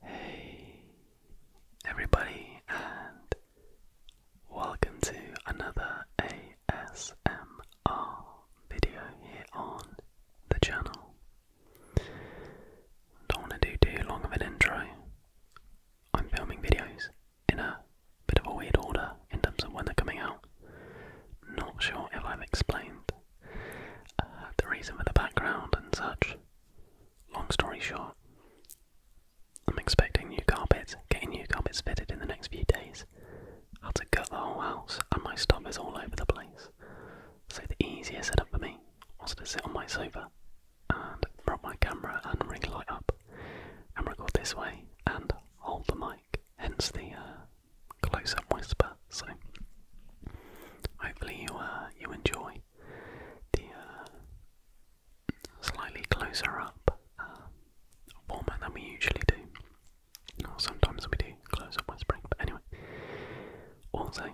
Hey everybody and welcome to another ASMR video here on the channel. Don't want to do too long of an intro. I'm filming videos in a bit of a weird order in terms of when they're coming out. Not sure if I've explained uh, the reason for the background and such. Long story short, I'm expecting new carpets, getting new carpets fitted in the next few days. I had to gut the whole house, and my stuff is all over the place. So the easiest setup for me was to sit on my sofa and prop my camera and ring light up and record this way and hold the mic, hence the uh, close-up whisper. So hopefully you uh, you enjoy the uh, slightly closer up uh, warmer than we usually do. Or sometimes we do close up spring, but anyway. Also,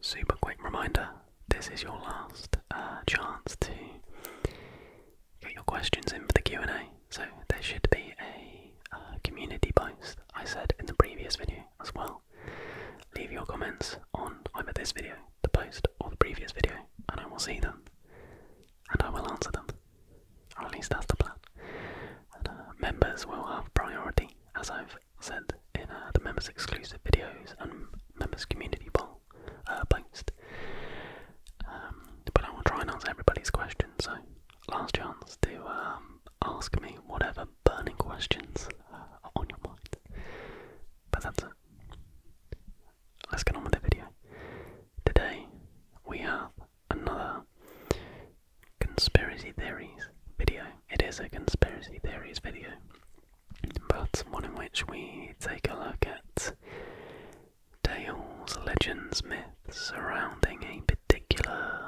super quick reminder this is your last uh, chance to get your questions in for the Q&A. So there should be a community post I said in the previous video as well. Leave your comments on either this video, the post, or the previous video, and I will see them. And I will answer them. Or at least that's the plan. Uh, members will have priority, as I've said in uh, the members exclusive videos and members community poll uh, post. Um, but I will try and answer everybody's questions. so last chance to um, ask me whatever burning questions are on your mind. But that's it. Let's get on with the video. Today we have another conspiracy theories video. It is a conspiracy theories video, but one in which we take a look at tales, legends, myths surrounding a particular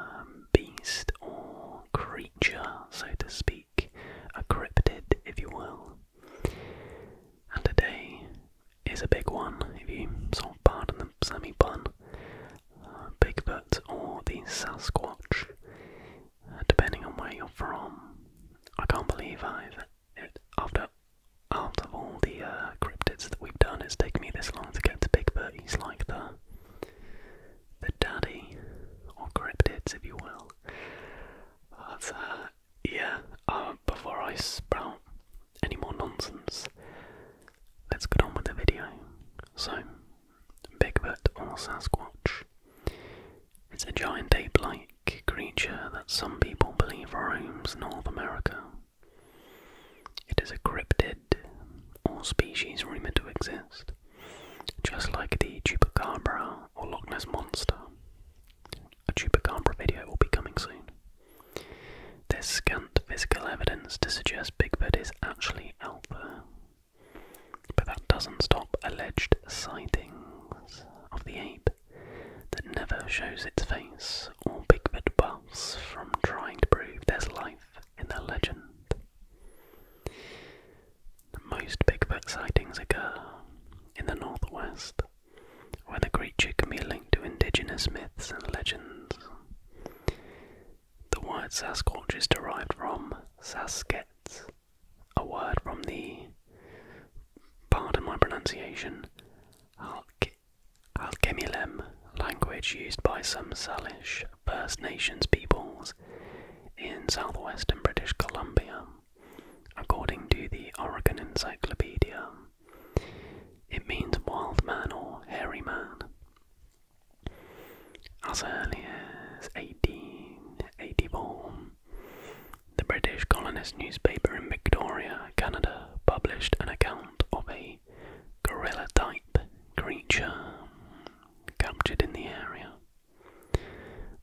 beast or creature, so to speak a cryptid, if you will. And today is a big one, if you sort of pardon the semi pun. Uh, Bigfoot or the Sasquatch, uh, depending on where you're from. I can't believe I've, after all the uh, cryptids that we've done, it's taken me this long to get to Bigfoot. He's like the the daddy, or cryptids, if you will. But uh, yeah, uh, before I sprout any more nonsense, let's get on with the video. So, Bigfoot or Sasquatch? It's a giant ape-like creature that some people believe roams North America. It is a cryptid or species rumored to exist just like the Chupacabra or Loch Ness Monster. A Chupacabra video will be coming soon. There's scant physical evidence to suggest Bigfoot is actually out there, but that doesn't stop alleged sightings of the ape that never shows its face or Bigfoot buffs from trying to prove there's life in their legend. Most Bigfoot sightings occur in the northwest, where the creature can be linked to indigenous myths and legends. The word Sasquatch is derived from Sasket, a word from the, pardon my pronunciation, Halk language used by some Salish First Nations peoples in southwestern British Columbia. According to the Oregon Encyclopedia, it means wild man or hairy man. As early as 1884, the British colonist newspaper in Victoria, Canada, published an account of a gorilla type creature captured in the area.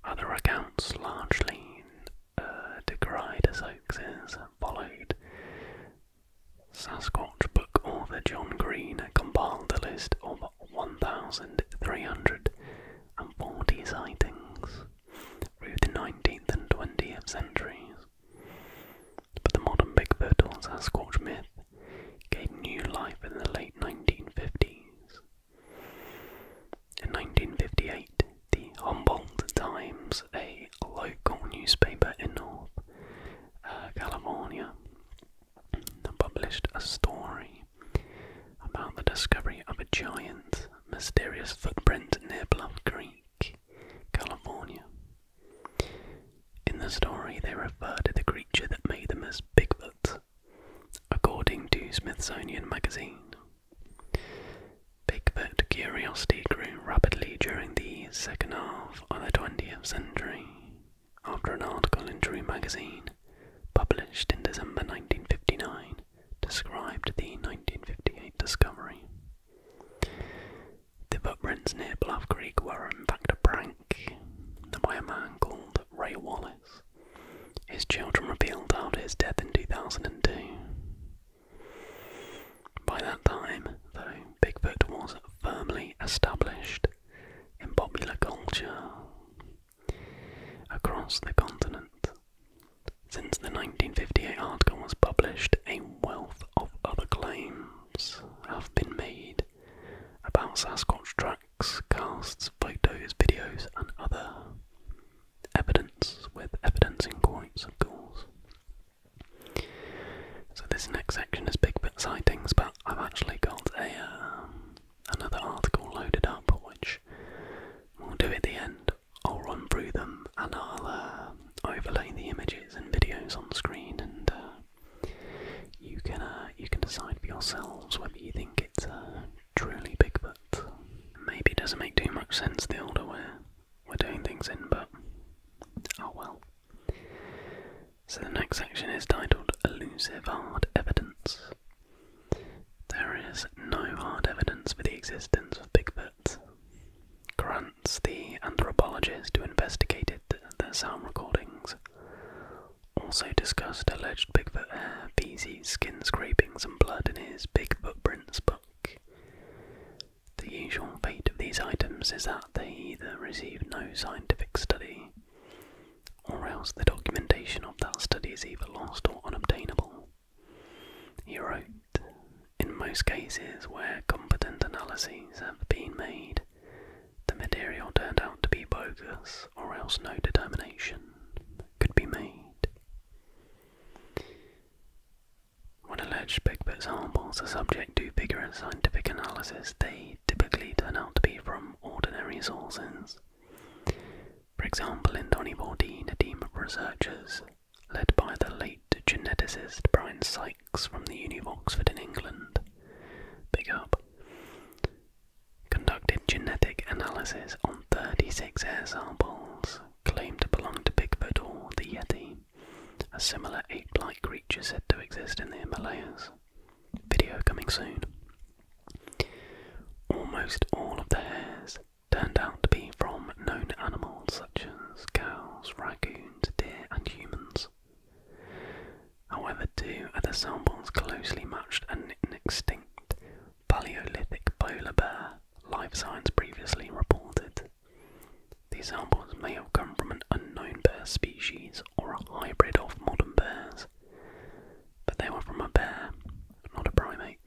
Other accounts, largely uh, decried as hoaxes, followed. Sasquatch book author John Green compiled a list of 1,340 sightings through the 19th and 20th centuries. But the modern Bigfoot or Sasquatch myth gained new life in the late 1950s. In 1958, the Humboldt Times, a local newspaper in North uh, California, published a story about the discovery of a giant, mysterious footprint near Bluff Creek, California. In the story, they refer to the creature that made them as Bigfoot, according to Smithsonian Magazine. Bigfoot curiosity grew rapidly during the second half of the 20th century after an article in True Magazine, published in December 1959, described the 1958 discovery. The footprints near Bluff Creek were in fact a prank by a man called Ray Wallace. His children revealed after his death in 2002. By that time, though, Bigfoot was firmly established in popular culture across the continent. Since the 1958 article was published, a wealth of other claims have been made about Sasquatch tracks, casts, photos, videos, and other evidence, with evidence in quotes, of course. So this next section is Bigfoot sightings, but I've actually got a um, another article loaded up, which we'll do at the end. I'll run through them and I'll uh, overlay the images and videos on screen and uh, you can uh, you can decide for yourselves whether you think it's truly Bigfoot. Maybe it doesn't make too much sense the older we're we're doing things in, but oh well. So the next section is titled Elusive Hard Evidence. There is no hard evidence for the existence of Bigfoot. Grants the anthropologist to investigate it did the, sound recordings, also discussed alleged Bigfoot hair, feces, skin scrapings, and blood in his Bigfoot Prints book. The usual fate of these items is that they either receive no scientific study, or else the documentation of that study is either lost or unobtainable. He wrote, in most cases where competent analyses have been made, the material turned out to be bogus, or else no determination could be made. When alleged Bigfoot samples are subject to vigorous scientific analysis, they typically turn out to be from ordinary sources. For example, in 2014, a team of researchers led by the late geneticist Brian Sy from the Uni of Oxford in England, big up, conducted genetic analysis on 36 hair samples claimed to belong to Bigfoot or the Yeti, a similar ape-like creature said to exist in the Himalayas. Video coming soon. Almost all of the hairs turned out to be from known animals such as cows, raccoons, deer, and humans. However, two other samples closely matched an extinct Paleolithic polar bear, Life signs previously reported. These samples may have come from an unknown bear species or a hybrid of modern bears, but they were from a bear, not a primate.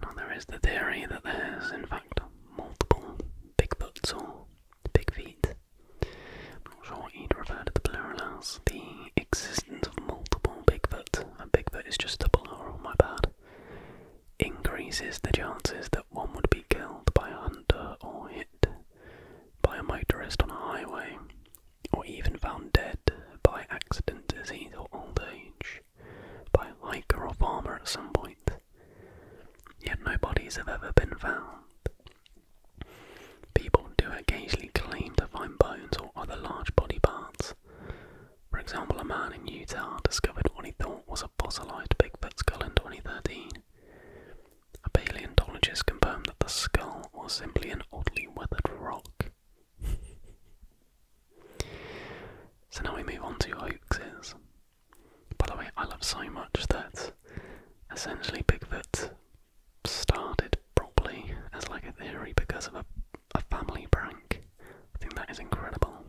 Now, there is the theory that there's, in fact, multiple Bigfoots or Big Feet not sure what you'd refer to the plural as. The existence of multiple Bigfoot, and Bigfoot is just a plural, my bad, increases the chances that one would be killed by a hunter or hit by a motorist on a highway, or even found dead by accident, disease, or old age, by a hiker or farmer at some point. Yet no bodies have ever been found. People do occasionally claim to find bones or other large body parts. For example, a man in Utah discovered what he thought was a fossilized Bigfoot skull in 2013. A paleontologist confirmed that the skull was simply an oddly weathered rock. so now we move on to hoaxes. By the way, I love so much that essentially Bigfoot started properly as like a theory because of a, a family prank. I think that is incredible.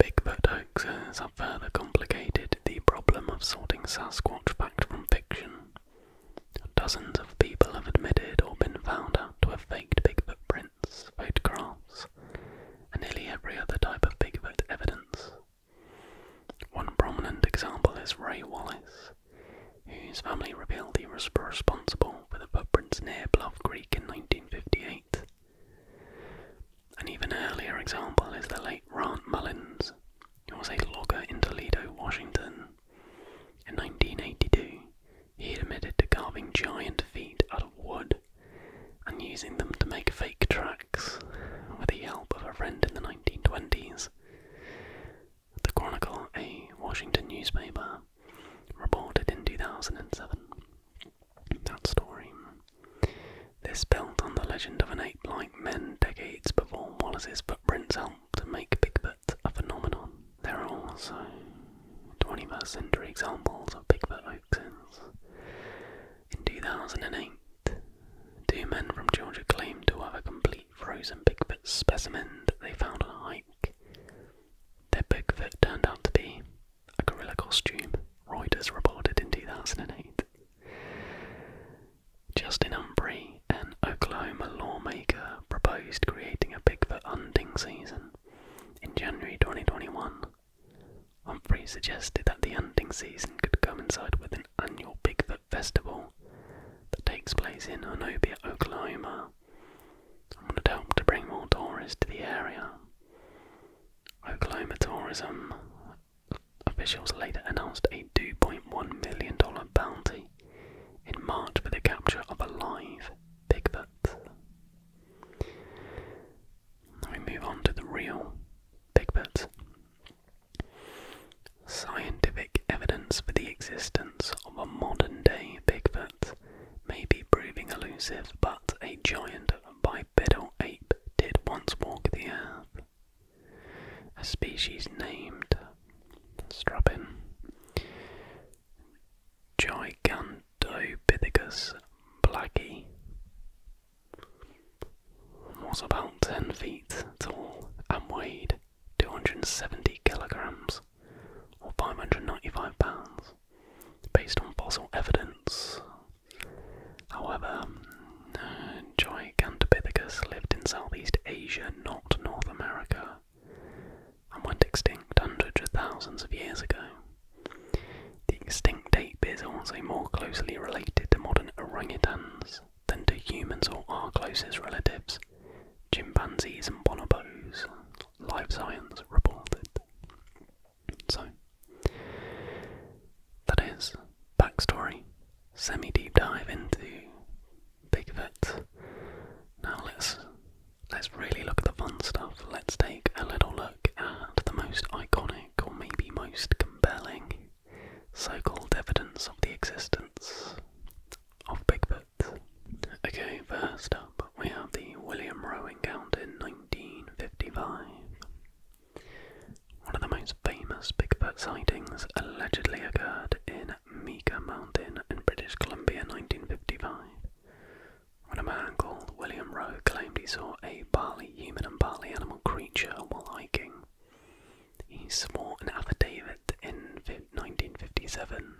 Bigfoot hoaxes have further complicated the problem of sorting Sasquatch fact from fiction. Dozens of people have admitted or been found out to have faked Bigfoot prints, photographs, and nearly every other type of Bigfoot evidence. One prominent example is Ray Wallace, whose family revealed he was responsible for the footprints near Bluff Creek in 1958. An even earlier example is the late Grant Mullins, who was a logger in Toledo, Washington. In 1982, he admitted to carving giant feet out of wood and using them to make fake tracks with the help of a friend in the 1920s. The Chronicle, a Washington newspaper, reported in 2007 that story. This built on the legend of an ape like men decades before Wallace's footprints helped to make Bigfoot a phenomenon. There are also 21st century examples of Bigfoot in 2008, two men from Georgia claimed to have a complete frozen Bigfoot specimen that they found on a hike. Their Bigfoot turned out to be a gorilla costume, Reuters reported in 2008. Justin Humphrey, an Oklahoma lawmaker, proposed creating a Bigfoot hunting season. In January 2021, Humphrey suggested that the hunting season could coincide with an annual Bigfoot festival that takes place in Onopia, Oklahoma, and would help to bring more tourists to the area. Oklahoma tourism officials later announced a $2.1 million bounty in March for the capture of a live Bigfoot. Now we move on to the real Bigfoots. Scientific evidence for the existence of a modern day Bigfoot may be proving elusive, but a giant bipedal ape did once walk the earth. A species named Strabin Gigantopithecus blackie was about 10 feet tall and weighed 270 kilograms or 595 pounds based on fossil evidence. However, uh, Gigantopithecus lived in Southeast Asia, not North America, and went extinct hundreds of thousands of years ago. The extinct ape is also more closely related to modern orangutans than to humans or our closest relatives, chimpanzees and bonobos, Life Science reported. So, that is backstory, semi deep dive into Bigfoot. Now let's let's really look at the fun stuff. Let's take a little look look at the most iconic or maybe most compelling so called evidence of the existence of Bigfoot. Okay, first up we have the William Rowe Count in 1955. One of the most famous Bigfoot sightings allegedly occurred in Meeker Mountain in British Columbia in 1955 when a man called William Rowe claimed he saw a barley human and barley animal creature while hiking. He swore an affidavit in 1957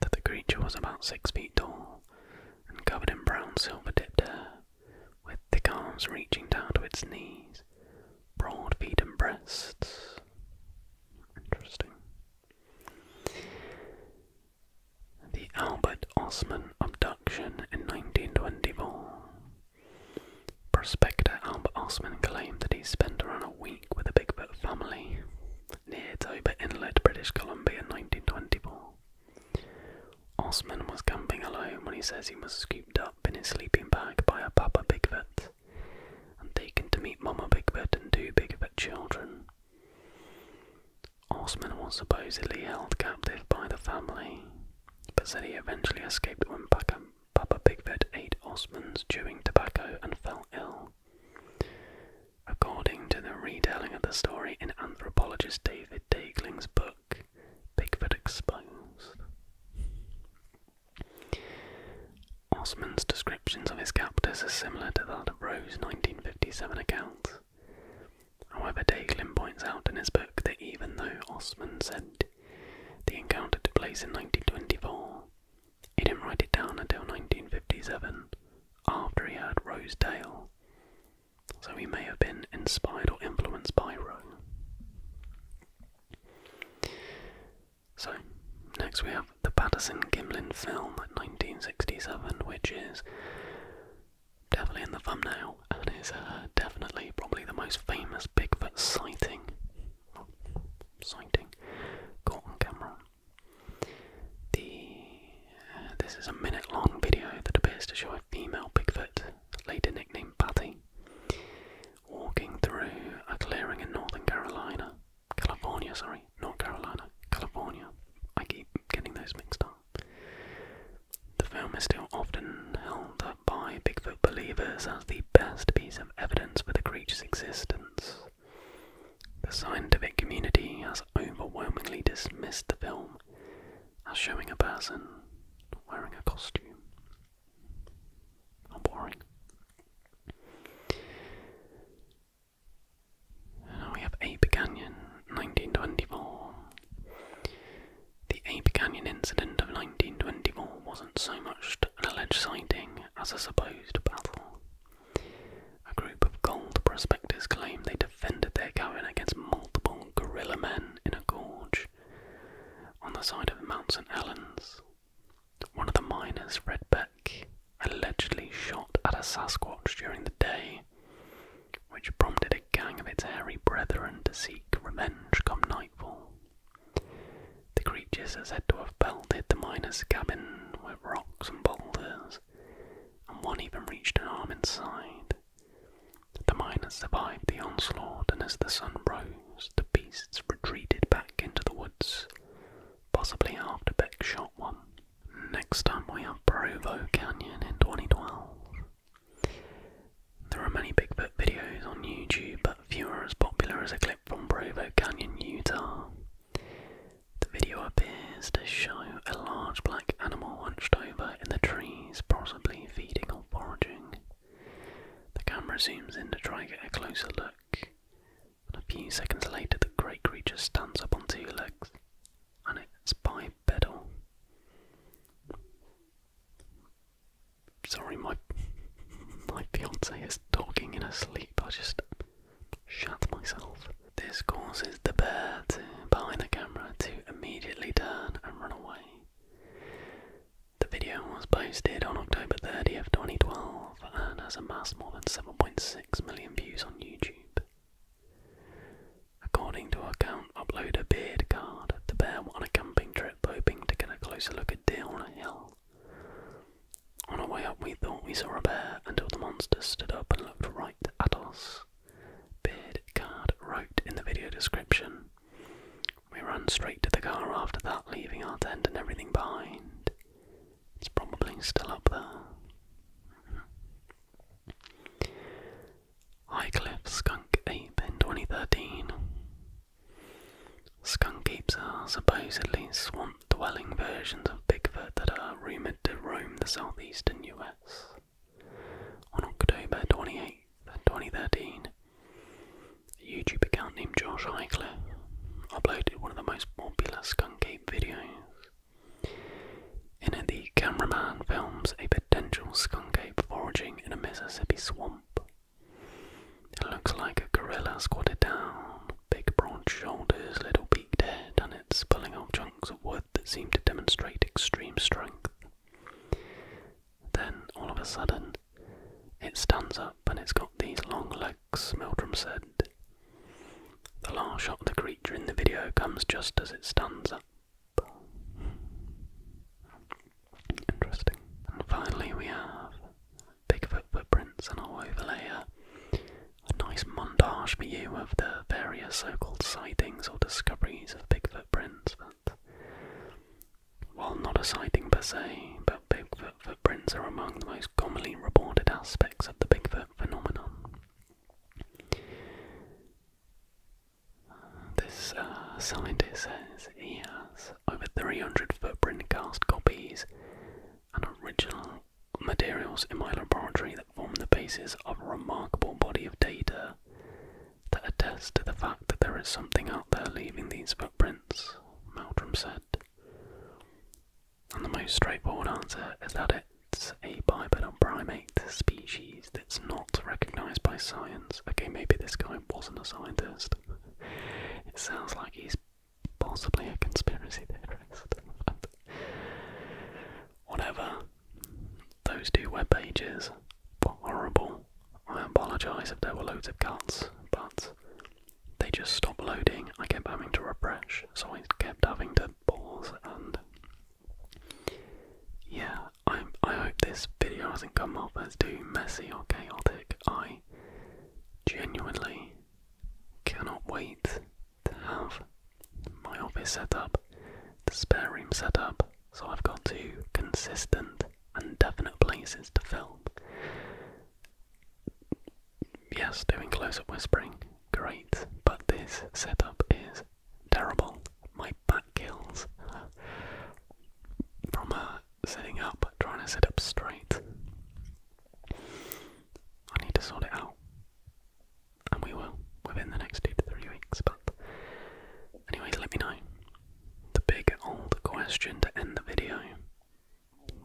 that the creature was about six feet tall and covered in brown silver tipped hair, with thick arms reaching down to its knees, broad feet and breasts. Interesting. The Albert Osman abduction in 1924. Prospector Albert Osman claimed that he spent around a week with the Bigfoot family near Toba Inlet, British Columbia in 1924. Osman was camping alone when he says he was scooped up in his sleeping bag by a Papa Bigfoot and taken to meet Mama Bigfoot and two Bigfoot children. Osman was supposedly held captive by the family, but said he eventually escaped when Papa Bigfoot ate Osman's chewing tobacco and fell ill. According to the retelling of the story in anthropologist David Dagling's book, Bigfoot Exposed, Osman's descriptions of his captors are similar to that of Rowe's 1957 accounts. However, Daiglin points out in his book that even though Osman said the encounter took place in 1924, he didn't write it down until 1957, after he had Rose Dale, so he may have been inspired or influenced by Rose. So, next we have the Patterson Gimlin film 1967, which is definitely in the thumbnail, and is uh, definitely probably the most famous Bigfoot sighting. sighting caught on camera. The uh, this is a minute-long video that appears to show a female Bigfoot, later nicknamed Patty, walking through a clearing in northern Carolina, California. Sorry, not Carolina, California. I keep getting those mixed up. The film is still often held up by Bigfoot believers as the best piece of evidence for the creature's existence. The scientific community has overwhelmingly dismissed the film as showing a person wearing a costume. How boring we have Ape Canyon, 1924. The Ape Canyon incident of 1924 wasn't so much an alleged sighting as a supposed battle. A group of gold prospectors claimed they defended their cavern against multiple guerrilla men in a gorge on the side of Mount St. Helens. One of the miners, Fred Beck, allegedly shot at a Sasquatch during the day which prompted a gang of its hairy brethren to seek revenge come nightfall. The creatures are said to have pelted the miner's cabin with rocks and boulders, and one even reached an arm inside. The miner survived the onslaught, and as the sun rose, the beasts retreated back into the woods, possibly after Beck shot one. Next time we have Provo Canyon in 2012. There are many Bigfoot videos on YouTube, but few are as popular as a clip from Provo Canyon, Utah. The video appears to show a large black animal hunched over in the trees, possibly feeding or foraging. The camera zooms in to try and get a closer look, and a few seconds later, the great creature stands up on two legs, and it's bipedal. Sorry, my my fiance is talking in her sleep. I just shut myself. This causes the bear to, behind the camera to immediately turn and run away. The video was posted on October 30th, 2012, and has amassed more than 7.6 million views on YouTube. According to account uploader Beardcard, the bear went on a camping trip hoping to get a closer look at deer on a hill. On our way up, we thought we saw a bear until the monster stood up and looked right at us. Beardcard wrote in the video description. We ran straight to the car after that, leaving our tent and everything behind. It's probably still up there. Highcliff Skunk Ape in 2013. Skunk apes are supposedly swamp dwelling versions of Bigfoot that are rumoured to roam the southeastern US. On October 28, 2013, a YouTube account named Josh Highcliffe uploaded one of the most popular skunk ape videos. In it, the cameraman films a potential skunk ape foraging in a Mississippi swamp. It looks like a gorilla squatted down, big broad shoulders, little beaked head, and it's pulling off chunks of wood that seem to demonstrate extreme strength. Then, all of a sudden, it stands up and it's got these long legs, Mildrum said. The last shot of the creature in the video comes just as it stands up. Interesting. And finally, we have Bigfoot footprints, and our overlay uh, a, nice montage for you of the various so called sightings or discoveries of Bigfoot footprints. That, while not a sighting per se, but Bigfoot footprints are among the most commonly reported aspects of the Bigfoot phenomenon. This uh, scientist says he has over 300 footprint cast copies and original materials in my laboratory that form the basis of a remarkable body of data that attests to the fact that there is something out there leaving these footprints, Meldrum said. And the most straightforward answer is that it's a bipedal primate species that's not recognized by science. Okay, maybe this guy wasn't a scientist. It sounds like he's possibly a conspiracy theorist. whatever. Those two web pages were horrible. I apologise if there were loads of cuts, but they just stopped loading. I kept having to refresh, so I kept having to balls and yeah, I I hope this video hasn't come off as too messy or chaotic. I genuinely cannot wait to have my office set up, the spare room set up, so I've got two consistent and definite places to film yes, doing close up whispering, great, but this setup is terrible. My back kills from uh, sitting up, trying to sit up straight. I need to sort it out, and we will within the next two to three weeks. But, anyways, let me know the big old question to end the video.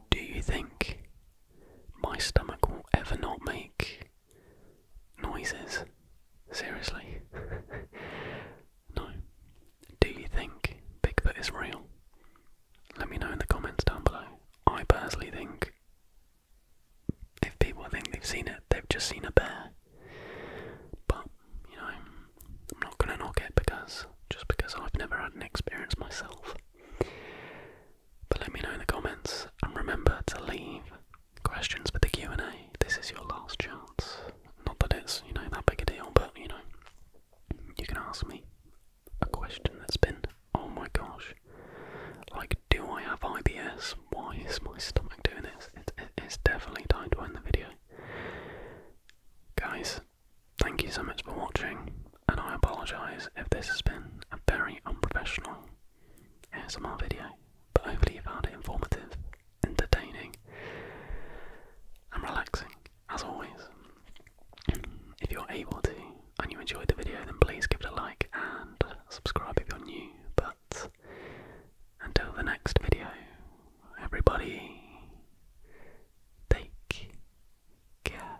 Do you think my stomach will ever not make noises. Seriously. no. Do you think Bigfoot is real? Let me know in the comments down below. I personally think if people think they've seen it, they've just seen a bear. But, you know, I'm not gonna knock it because just because I've never had an experience myself. But let me know in the comments and remember to leave questions for the Q&A. This is your last chance. Not that it's, you know, that big a deal, but, you know, you can ask me a question that's been, oh my gosh, like, do I have IBS? Why is my stomach doing this? it's definitely time to end the video. Guys, thank you so much for watching and I apologise if this has been a very unprofessional ASMR video, but hopefully you found it informative, entertaining, and relaxing, as always. If you're able to and you enjoyed the video, then please give it a like and subscribe if you're new. But until the next video, everybody, take care.